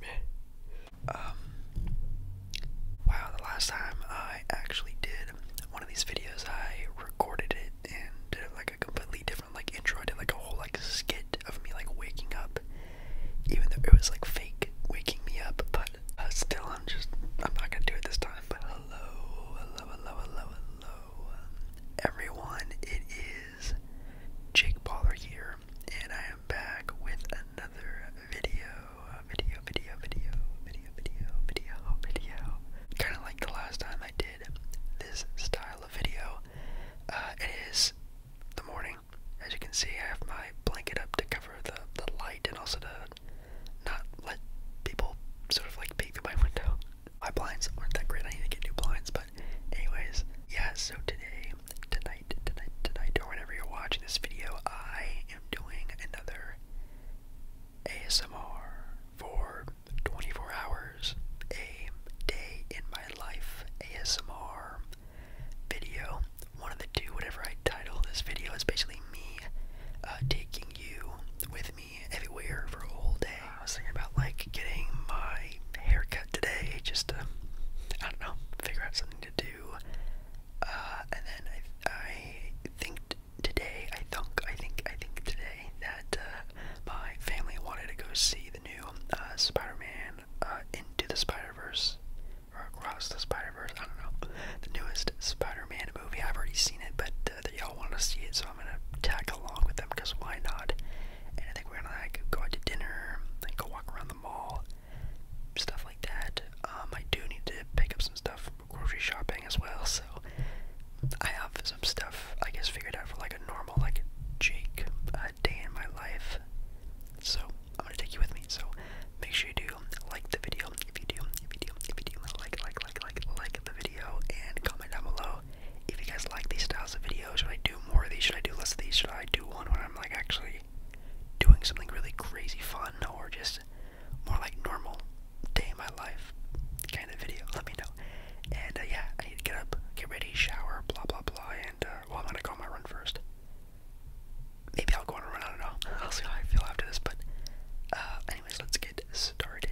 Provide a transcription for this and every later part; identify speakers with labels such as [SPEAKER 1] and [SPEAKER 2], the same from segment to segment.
[SPEAKER 1] Man. Um, wow, the last time I actually did one of these videos, I recorded it and did like a completely different like intro. I did like a whole like skit of me like waking up, even though it was like fake waking me up, but uh, still, I'm just, I'm not gonna do it this time. But hello, hello, hello, hello, hello everyone, it is Jake Baller here, and I am back with another video, video, video, video, video, video, video, video. Kind of like the last time I did this style of video. Uh, it is the morning, as you can see. I have my blanket up to cover the the light and also to not let people sort of like peek through my window my blinds aren't that great. I need to get new blinds, but anyways, yeah, so today, tonight, tonight, tonight, or whenever you're watching this video, I am doing another ASMR for 24 hours, a day in my life ASMR video. One of the two, whatever I title this video, is basically me uh, taking you with me me for a whole day. I was thinking about like getting my haircut today just to, I don't know, figure out something to do. Uh, and then I, think today, I thunk, I think, I think today that uh, my family wanted to go see the new uh, Spider-Man uh, Into the Spider-Verse or Across the Spider-Verse. I don't know the newest Spider-Man movie. I've already seen it, but that, y'all want to see it, so I'm gonna tag along with them because why not? And I think we're gonna like go out to dinner, like go walk around the mall, stuff like that. Um, I do need to pick up some stuff grocery shopping as well, so I have some stuff I guess figured out for like a normal like Jake uh, day in my life. So I'm gonna take you with me. So make sure you do like the video if you do, if you do, if you do like like like like like the video and comment down below if you guys like these styles of videos. Should I do more of these? Should I do less of these? Should I do one when I'm like actually doing something really crazy fun or just more like normal day in my life kind of video? Let me know. And uh, yeah, I need to get up, get ready, shower, blah blah blah, and uh, well, I'm gonna go on my run first. Maybe I'll go on a run. I don't know. I'll see how I feel after this. But uh, anyways, let's get started.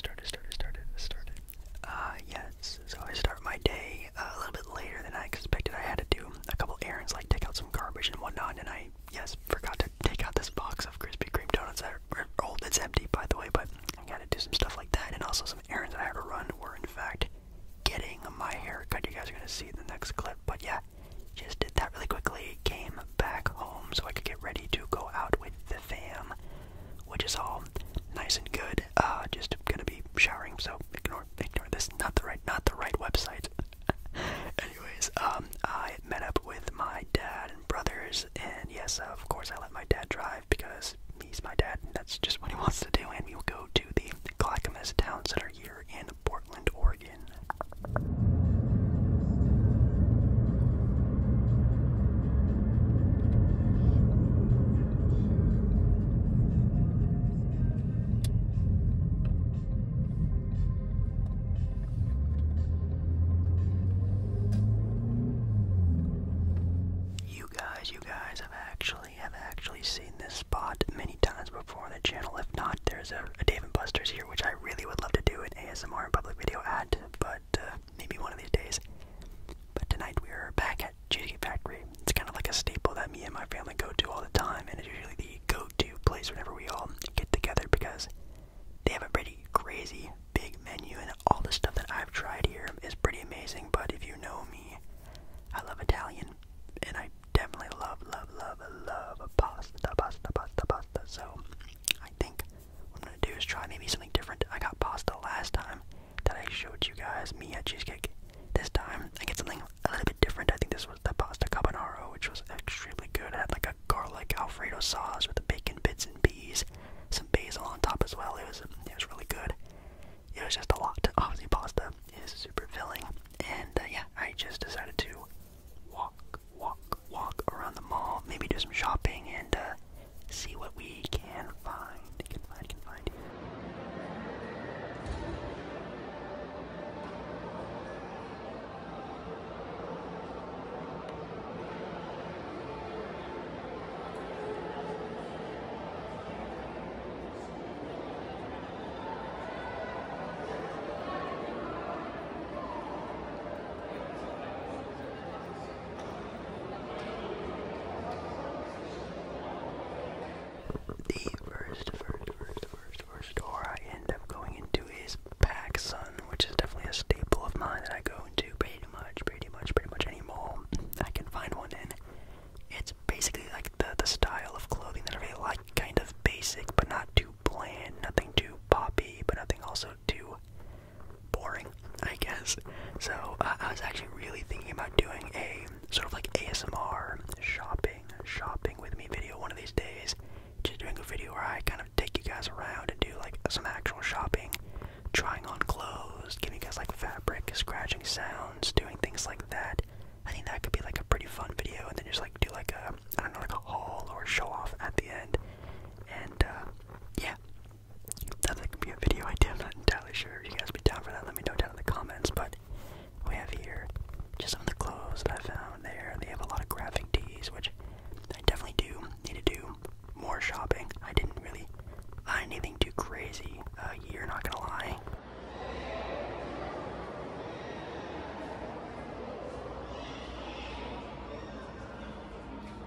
[SPEAKER 1] Started, started, started, started. Uh, yes, so I start my day uh, a little bit later than I expected. I had to do a couple errands, like take out some garbage and whatnot, and I, yes, forgot to take out this box of Krispy Kreme donuts that are old. It's empty, by the way, but I had to do some stuff like that, and also some errands that I had to run were, in fact, getting my haircut. You guys are going to see the next clip, but yeah, just did that really quickly, came back home so I could get ready to go out with the fam, which is all nice and good. Uh, just gonna be showering, so ignore ignore this. Not the right not the right website. Anyways, um, I met up with my dad and brothers, and yes, of course I let my dad drive because he's my dad, that's just what he wants to do. And we will go to the Clackamas Town Center here in Portland, Oregon. You guys, you guys have actually have actually seen this spot many times before on the channel. If not, there's a, a Dave and Buster's here, which I really would love to do an ASMR public video at, but but uh, maybe one of these days. But tonight we are back at Cheesecake Factory. It's kind of like a staple that me and my family go to all the time, and it's usually the go-to place whenever we all get together because they have a pretty crazy big menu, and all the stuff that I've tried here is pretty amazing. But if you know me, I love Italian, and I definitely love, love, love, love pasta, pasta, pasta, pasta. So I think what I'm gonna do is try maybe something different. I got pasta last time that I showed you guys, me at Cheesecake. This time I get something a little bit different. I think this was the pasta carbonaro, which was extremely good. It had like a garlic alfredo sauce with the bacon bits and peas, some basil on top as well. It was it was really good. It was just a lot. Obviously, pasta is super filling, and uh, yeah, I just decided to walk, walk, walk around the mall, maybe do some shopping, and uh, see what we can find. Can find, can find. The first, first, first, first, first store I end up going into is PacSun, which is definitely a staple of mine that I go into pretty much, pretty much, pretty much any mall I can find one in. It's basically like the the style of clothing that I really like, kind of basic but not too bland, nothing too poppy, but nothing also too boring, I guess. So uh, I was actually really thinking about doing a sort of like ASMR shopping, shopping with me video one of these days. Just doing a video where I kind of take you guys around and do like some actual shopping, trying on clothes, giving you guys like fabric, scratching sounds, doing things like that. I think that could be like a pretty fun video, and then just like do like a I don't know like a haul or show off at the end, and uh, yeah, that's like be a video idea. I'm not entirely sure if you guys be down for that. Let me know down in the comments. But we have here just some of the clothes that I found there. They have a lot of graphic tees, which I definitely do need to do more shopping. I didn't really find anything too crazy You're uh, not gonna lie.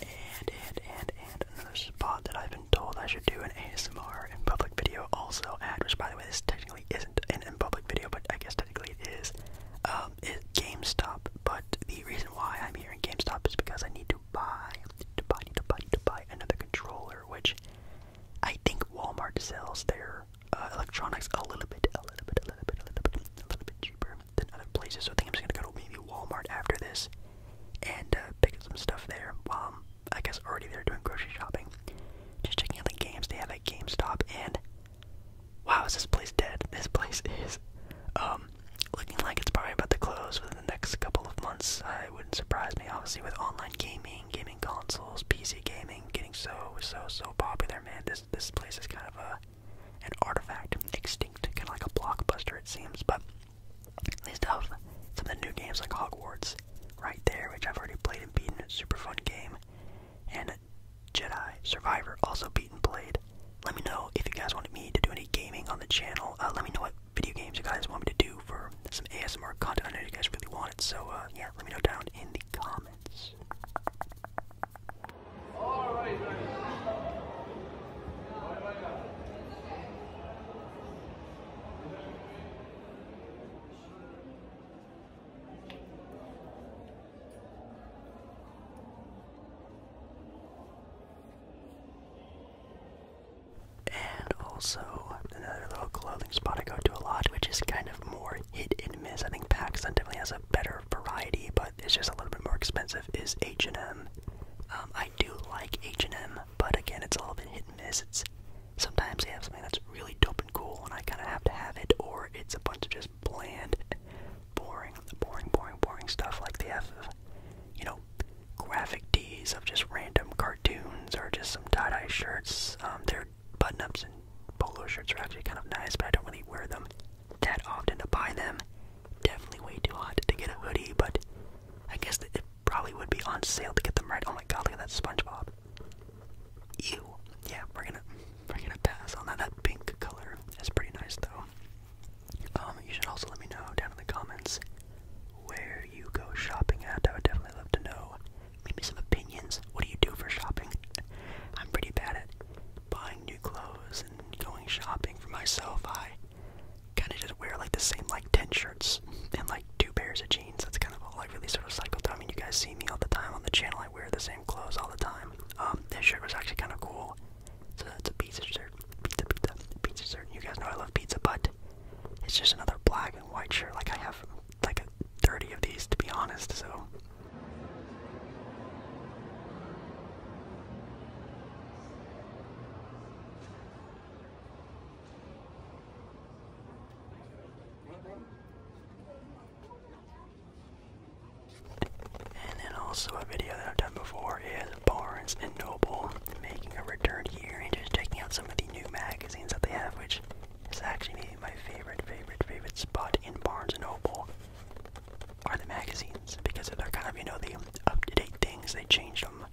[SPEAKER 1] And, and, and, and another spot that I've been told I should do an ASMR in public video also at, which by the way, this technically isn't an in public video, but I guess technically it is, um, GameStop. But the reason why I'm here in GameStop is because I need to buy, to buy, to buy, to buy another controller, which I think Walmart sells their uh, electronics a little bit, a little bit, a little bit, a little bit, a little bit cheaper than other places. So I think I'm just gonna go to maybe Walmart after this and uh, pick up some stuff there while i guess, already there doing grocery shopping. Just checking out the games they have at GameStop and wow, is this place dead? This place is um, looking like it's probably about to close within the next couple of months. Uh, it wouldn't surprise me, obviously, with online gaming, gaming consoles, PC gaming getting so so so popular. Man, this this place is kind of a an artifact, extinct, kind of like a blockbuster it seems, but they still have some of the new games like Hogwarts right there, which I've already played and beaten, super fun game, and Jedi Survivor, also beaten played. Let me know if you guys wanted me to do any gaming on the channel, uh, let me know what video games you guys want me to do for some ASMR content, I know you guys really want it, so uh, yeah, let me know down in the comments. And also another little clothing spot I go to a lot, which is kind of more hit and miss. I think Paxton definitely has a better variety, but it's just a little bit more expensive, is H&M. Um, I do like H&M, but again, it's a little bit hit and miss. It's sometimes they have something that's really dope and cool, and I kind of have to have it, or it's a bunch of just bland, boring, boring, boring, boring stuff. Like they have, you know, graphic tees of just random cartoons or just some tie-dye shirts. Um, their button-ups and polo shirts are actually kind of nice, but I don't really wear them that often to buy them. Definitely way too hot to get a hoodie, but I guess it probably would be on sale to get them right. Oh my god, look at that SpongeBob. Ew. Yeah, we're gonna we're gonna pass on that. That pink color is pretty nice though. Um, you should also let me know down in the comments where you go shopping at. I would definitely love to know. Maybe some opinions. What do you do for shopping? I'm pretty bad at buying new clothes going shopping for myself, I kind of just wear like the same like 10 shirts and like two pairs of jeans. That's kind of all I really sort of cycle through. I mean, you guys see me all the time on the channel. I wear the same clothes all the time. Um, this shirt was actually kind of cool. It's a, it's a pizza shirt. Pizza, pizza, pizza shirt. You guys know I love pizza, but it's just another black and white shirt. Like I have like 30 of these to be honest, so. And then also a video that I've done before is Barnes and Noble making a return here and just checking out some of the new magazines that they have, which is actually my favorite, favorite, favorite spot in Barnes and Noble are the magazines because they're kind of, you know, the up to date things. They change them,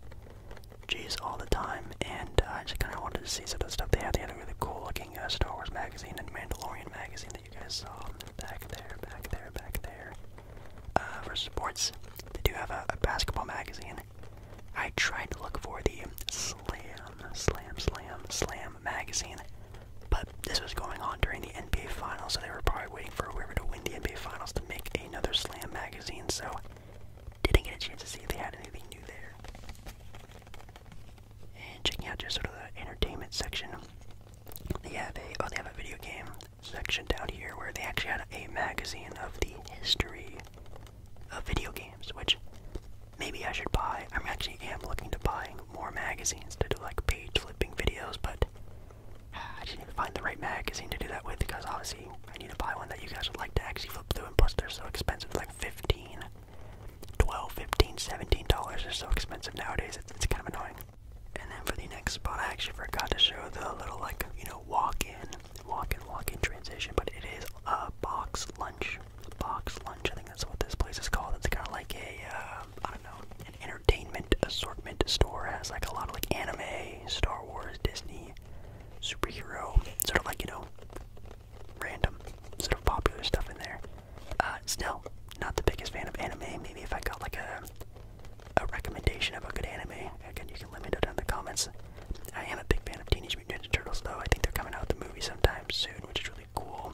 [SPEAKER 1] jeez, all the time. And uh, I just kind of wanted to see some of the stuff they had. They had a really cool looking uh, Star Wars magazine and Mandalorian magazine that you guys saw back there, back there, back there. Uh, for sports, they do have a, a basketball magazine. I tried to look for the Slam, Slam, Slam, Slam magazine. But this was going on during the NBA Finals, so they were probably waiting for whoever to win the NBA Finals to make another Slam magazine, so didn't get a chance to see if they had anything new there. And checking out just sort of the entertainment section, they have a oh they have a video game section down here where they actually had a magazine of the history of video games, which maybe I should buy. I'm actually am looking to buying more magazines to do like page flipping videos, but I didn't even find the right magazine to do that with because obviously I need to buy one that you guys would like to actually flip through and plus they're so expensive like 15 12 15 17 dollars are so expensive nowadays it's, it's kind of annoying and then for the next spot I actually forgot to show the little like you know walk-in walk-in walk-in transition but it is a uh, box lunch box lunch I think that's what this place is called it's kind of like a uh, I don't know, an entertainment assortment store has like a lot of like anime, Star Wars, Disney, superhero, sort of like you know, random sort of popular stuff in there. Uh, still, not the biggest fan of anime. Maybe if I got like a a recommendation of a good anime, again you can let me know down in the comments. I am a big fan of Teenage Mutant Ninja Turtles though. I think they're coming out with the movie sometime soon, which is really cool.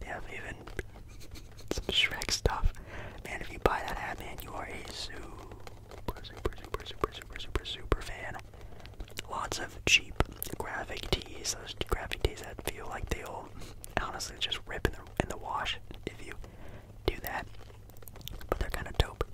[SPEAKER 1] They have even some Shrek stuff. Man, if you buy that hat, man, you are a super, super, super, super, super, super, super fan. Lots of cheap graphic tees. Those graphic tees that feel like they'll honestly just rip in the in the wash if you do that. But they're kind of dope.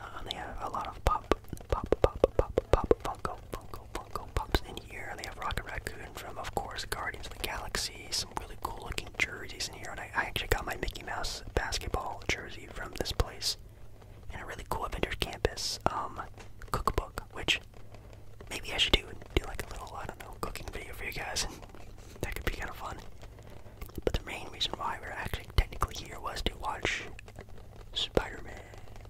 [SPEAKER 1] Um, they have a lot of pop, pop, pop, pop, pop, Funko, Funko, Funko pops in here. They have Rocket Raccoon from, of course, Guardians of the Galaxy. Some really cool looking jerseys in here, and I, actually got my Mickey Mouse basketball jersey from this place. And a really cool Avengers Campus um, cookbook, which maybe I should do do like a little I don't know cooking video for you guys, that could be kind of fun. But the main reason why we are actually technically here was to watch Spider-Man,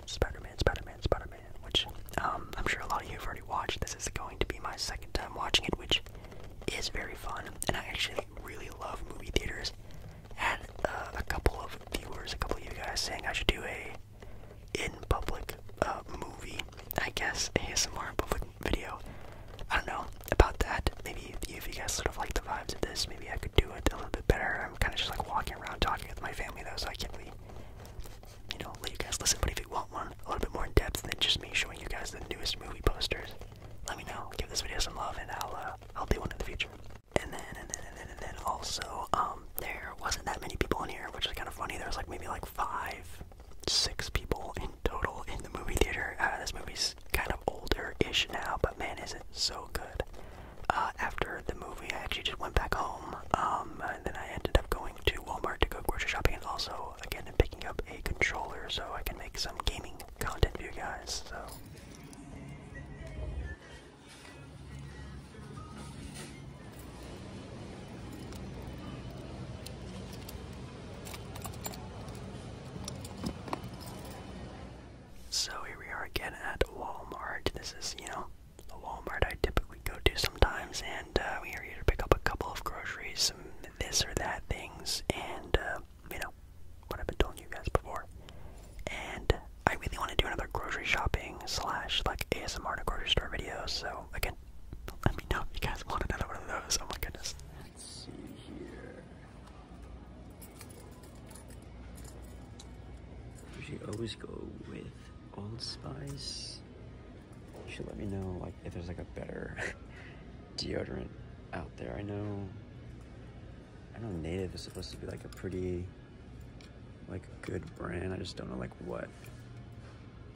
[SPEAKER 1] Spider-Man, Spider-Man, Spider-Man, which um, I'm sure a lot of you have already watched. This is going to be my second time watching it, which is very fun, and I actually really love movie theaters. Had uh, a couple of viewers, a couple of you guys, saying I should do a in public uh, movie, I guess ASMR public video. I don't know about that. Maybe if you guys sort of like the vibes of this, maybe I could do it a little bit better. I'm kind of just like walking around talking with my family though, so I can't really, you know, let you guys listen. But if want one a little bit more in depth than just me showing you guys the newest movie posters, let me know. Give this video some love, and I'll uh, I'll do one in the future. And then and then and then also um there wasn't that many people in here, which is kind of funny. There was like maybe like five, six people in total in the movie theater. Uh, this movie's kind of older-ish now, but man, is it so good. Uh, after the movie, I actually just went back home, um, and then I ended up going to Walmart to go grocery shopping and also again, I'm picking up a controller so I can make some gaming content for you guys. So. So here we are again at Walmart. This is, you know, the Walmart I typically go to sometimes, and we are here to pick up a couple of groceries, some this or that things, and you know what I've been telling you guys before. And I really want to do another grocery shopping slash like ASMR to grocery store video. So again, let me know if you guys want another one of those. Oh my goodness. Let's see here.
[SPEAKER 2] We always go with Old Spice you should let me know like if there's like a better deodorant out there. I know I know Native is supposed to be like a pretty like good brand. I just don't know like what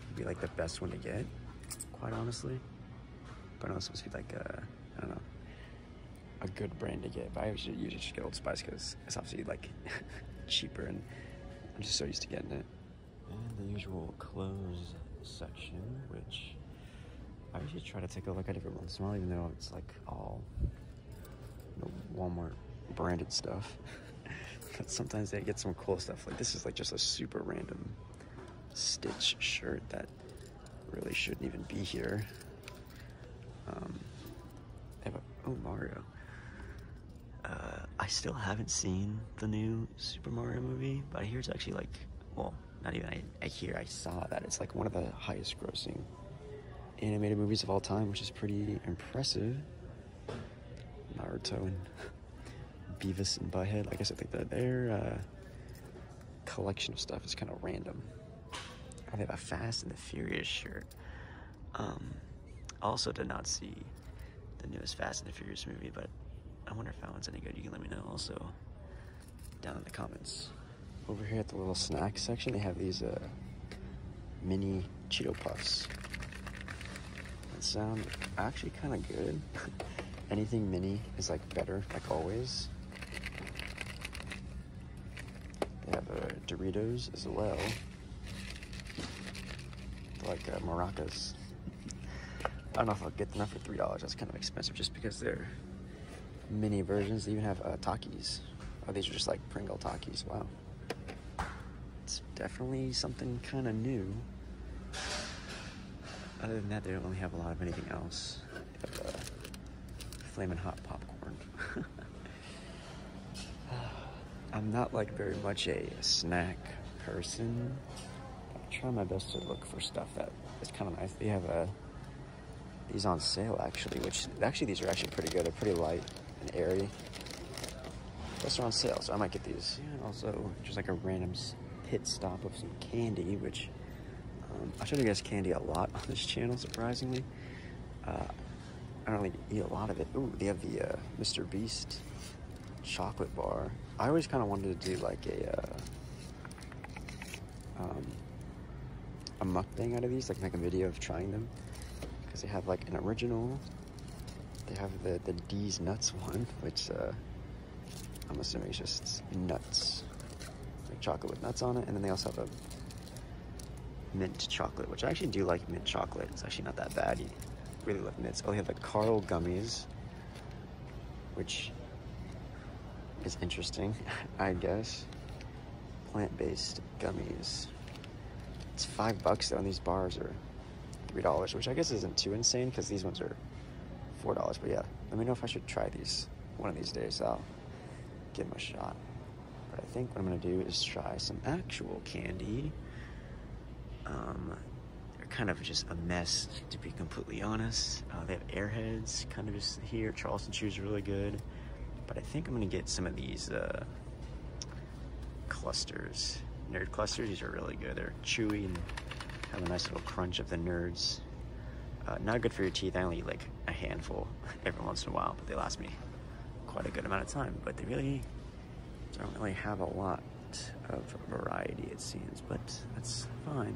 [SPEAKER 2] would be like the best one to get, quite honestly. But I know it's supposed to be like a I don't know a good brand to get. But I usually, usually just get Old Spice because it's obviously like cheaper and I'm just so used to getting it and the usual clothes section, which I usually try to take a look at every once in a while, even though it's like all Walmart branded stuff. but sometimes they get some cool stuff. Like this is like just a super random Stitch shirt that really shouldn't even be here. Um, oh Mario. Uh, I still haven't seen the new Super Mario movie, but here it's actually like, well, not even I, I hear, I saw that it's like one of the highest grossing animated movies of all time, which is pretty impressive. Naruto and Beavis and Butthead. Like I said, like their, their uh, collection of stuff is kind of random. I have a Fast and the Furious shirt. Um, also did not see the newest Fast and the Furious movie, but I wonder if that one's any good. You can let me know also down in the comments. Over here at the little snack section, they have these uh, mini Cheeto Puffs. That sound actually kind of good. Anything mini is like better, like always. They have uh, Doritos as well, like uh, I don't know if I'll get them for three dollars. That's kind of expensive, just because they're mini versions. They even have uh, Takis. Oh, these are just like Pringle Takis. Wow, it's definitely something kind of new. Other than that, they don't really have a lot of anything else. They uh, flaming hot popcorn. I'm not like very much a snack person. I try my best to look for stuff that is kind of nice. They have a, uh, these on sale actually, which actually these are actually pretty good. They're pretty light and airy. Those are on sale, so I might get these. also, just like a random pit stop of some candy, which um, I try to get candy a lot on this channel, surprisingly. Uh, I don't really eat a lot of it. Ooh, they have the uh, Mr. Beast chocolate bar. I always kind of wanted to do like a, uh, um, a mukbang out of these, like make a video of trying them. Because they have like an original, they have the, the D's Nuts one, which uh, I'm assuming is just nuts, like chocolate with nuts on it. And then they also have a mint chocolate, which I actually do like mint chocolate. It's actually not that bad. really love mints. Oh, they have the Carl gummies which is interesting, I guess. Plant based gummies. It's five bucks though, these bars are three dollars, which I guess isn't too insane because these ones are four dollars. But yeah, let me know if I should try these one of these days. I'll give them a shot. But I think what I'm gonna do is try some actual candy. Um, they're kind of just a mess, to be completely honest. Uh, they have airheads, kind of just here. Charleston shoes are really good. But I think I'm going to get some of these uh, clusters. Nerd clusters, these are really good. They're chewy and have a nice little crunch of the nerds. Uh, not good for your teeth. I only eat like a handful every once in a while, but they last me quite a good amount of time. But they really don't really have a lot of variety, it seems, but that's fine.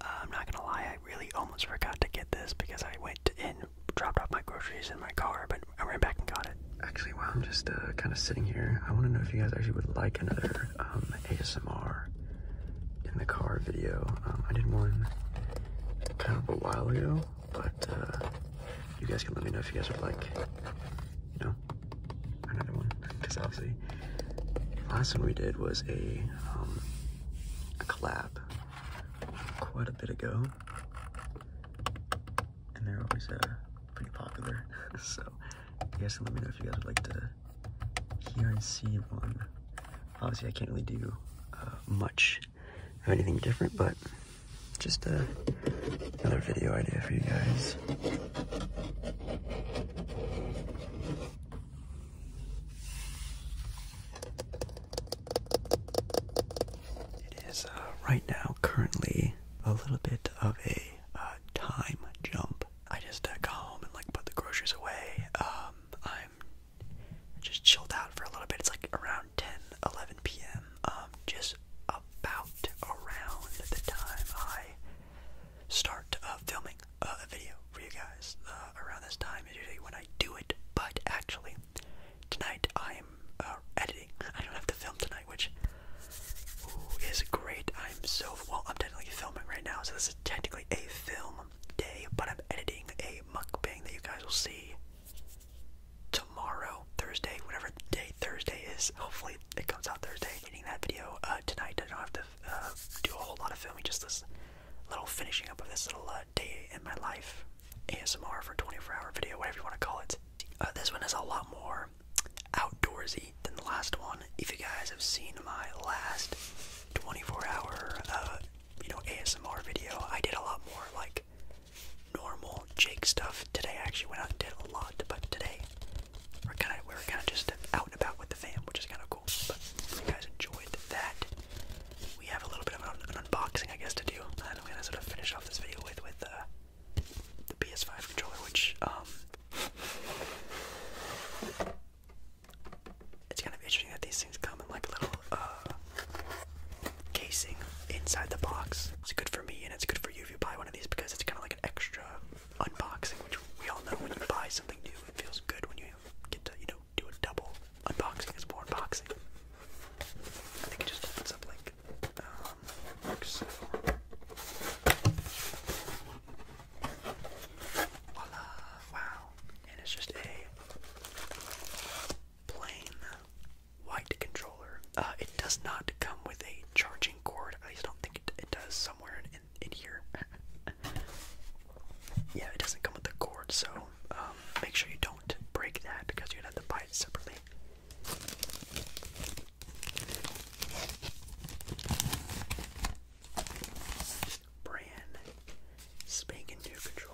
[SPEAKER 1] I'm not gonna lie, I really almost forgot to get
[SPEAKER 2] this because I went and dropped off my groceries in my car, but I ran back and got it. Actually, while I'm just uh, kind of sitting here, I want to know if you guys actually would like another um, ASMR in the car video. Um, I did one kind of a while ago, but uh, you guys can let me know if you guys would like you another one. Because obviously, the last one we did was a, um, a collab quite a bit ago. And they're always uh, pretty popular. so, yes, let me know if you guys would like to hear and see one. Obviously, I can't really do uh, much of anything different, but. Just uh, another video idea for you guys. It is uh, right now currently a little bit of a uh, time
[SPEAKER 1] jump. I just got home and like put the groceries away. Um, I'm just chilled out for a little bit. It's like around 10, 11 p.m. Um, just about around the time I start uh, filming uh, a video for you guys. Uh, around this time is usually when I do it, but actually, tonight I am uh, editing. I don't have to film tonight, which is great. I'm so well, I'm technically filming right now, so this is technically a film day, but I'm editing a mukbang that you guys will see tomorrow, Thursday, whatever day Thursday is. Hopefully, it comes out Thursday. Getting that video uh, tonight. I don't have to uh, do a whole lot of filming. Just this little finishing up of this little uh, day in my life. ASMR for 24-hour video, whatever you want to call it. this one is a lot more outdoorsy than the last one. If you guys have seen my last 24-hour, you know, ASMR video, I did a lot more like normal Jake stuff. Today I actually went out and did a lot, but today we're kind of we're kind of just out and about with the fam, which is kind of cool. But if you guys enjoyed that, we have a little bit of an, unboxing, I guess, to do, and I'm gonna sort of finish off this video with with uh, the PS5 controller, which um, It's kind of interesting that these things come in like a little uh, casing inside the box. It's good for me and it's good for you if you buy one these because it's kind of like an extra unboxing, which we all know when you buy something new, it feels good when you get to, you know, do a double unboxing It's more unboxing. I think it just opens up like um, so. Voila, wow. And it's just a plain white controller. Uh, it does not come with a charging cord. I just don't think it, does somewhere in, in, here. yeah, it doesn't come with the cord, so um, make sure you don't break that because you'd have to buy it separately. Brand spanking new controller.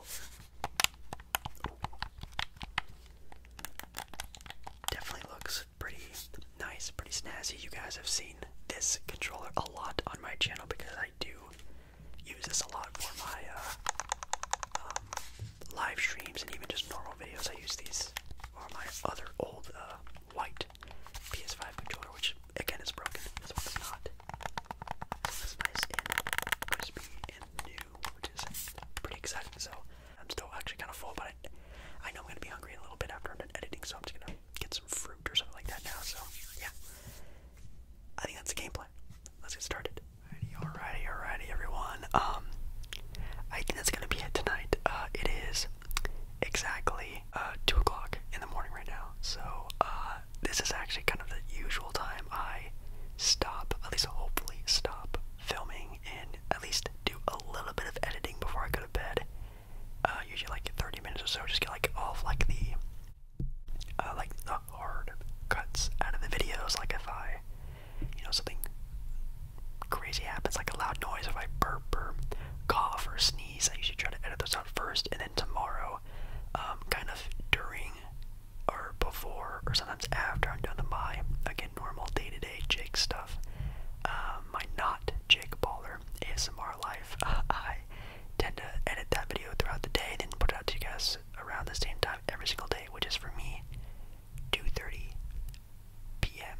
[SPEAKER 1] Definitely looks pretty nice, pretty snazzy. You guys have seen this controller a lot on my channel because I do use this a lot for my uh, um, live streams and even just normal videos. I use these or my other old uh, white PS5 controller, which again is broken. This one's not. This is nice and crispy and new, which is pretty exciting. So I'm still actually kind of full, but I, know I'm gonna be hungry a little bit after I'm done editing, so I'm just gonna get some fruit or something like that now. So yeah, I think that's the game plan. Let's get started. Alrighty, alrighty, alrighty, everyone. Um, I think that's gonna be it tonight. Uh, it is exactly uh, two o'clock in the morning right now, so uh, this is actually kind of the usual time I stop, at least hopefully stop filming and at least do a little bit of editing before I go to bed. Uh, usually like 30 minutes or so, just get like off like the uh, like the hard cuts out of the videos. Like if I, you know, something crazy happens, like a loud noise, if I burp or cough or sneeze, I usually try to edit those out first, and then tomorrow, um, kind of during or before or sometimes after I'm done to my again normal day to -day Jake stuff stuff. Um, uh, my not Jake Baller ASMR life. I tend to edit that video throughout the day, then put it out to you guys around the same time every single day, which is for me 2:30 p.m.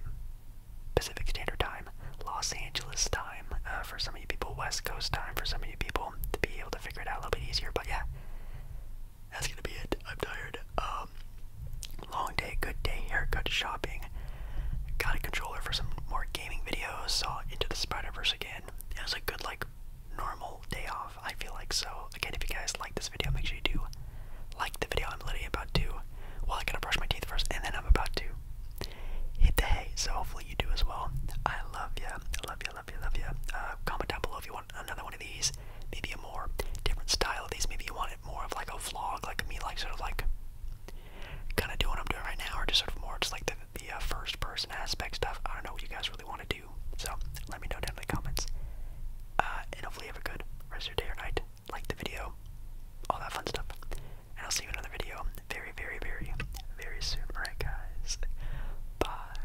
[SPEAKER 1] Pacific Standard Time, Los Angeles time uh, for some of you people, West Coast time for some of you people to be able to figure it out a little bit easier. But yeah, that's gonna be it. I'm tired. Um, um, long day, good day, haircut, shopping. Got a controller for some more gaming videos. Saw Into the Spider Verse again. It was a good like normal day off. I feel like so. Again, if you guys like this video, make sure you do like the video. I'm literally about to. Well, I gotta brush my teeth first, and then I'm about to hit the hay. So hopefully you do as well. I love you. I love you. Love you. Love you. Uh, comment down below if you want another one of these. Maybe a more different style of these. Maybe you want more of like a vlog, like me, like sort of like kind of doing what I'm doing right now, or just sort of more just like the, uh, first person aspect stuff. I don't know what you guys really want to do, so let me know down in the comments. Uh, and hopefully, you have a good rest of your day or night. Like the video, all that fun stuff. And I'll see you in another video very, very, very, very soon. Alright, guys. Bye.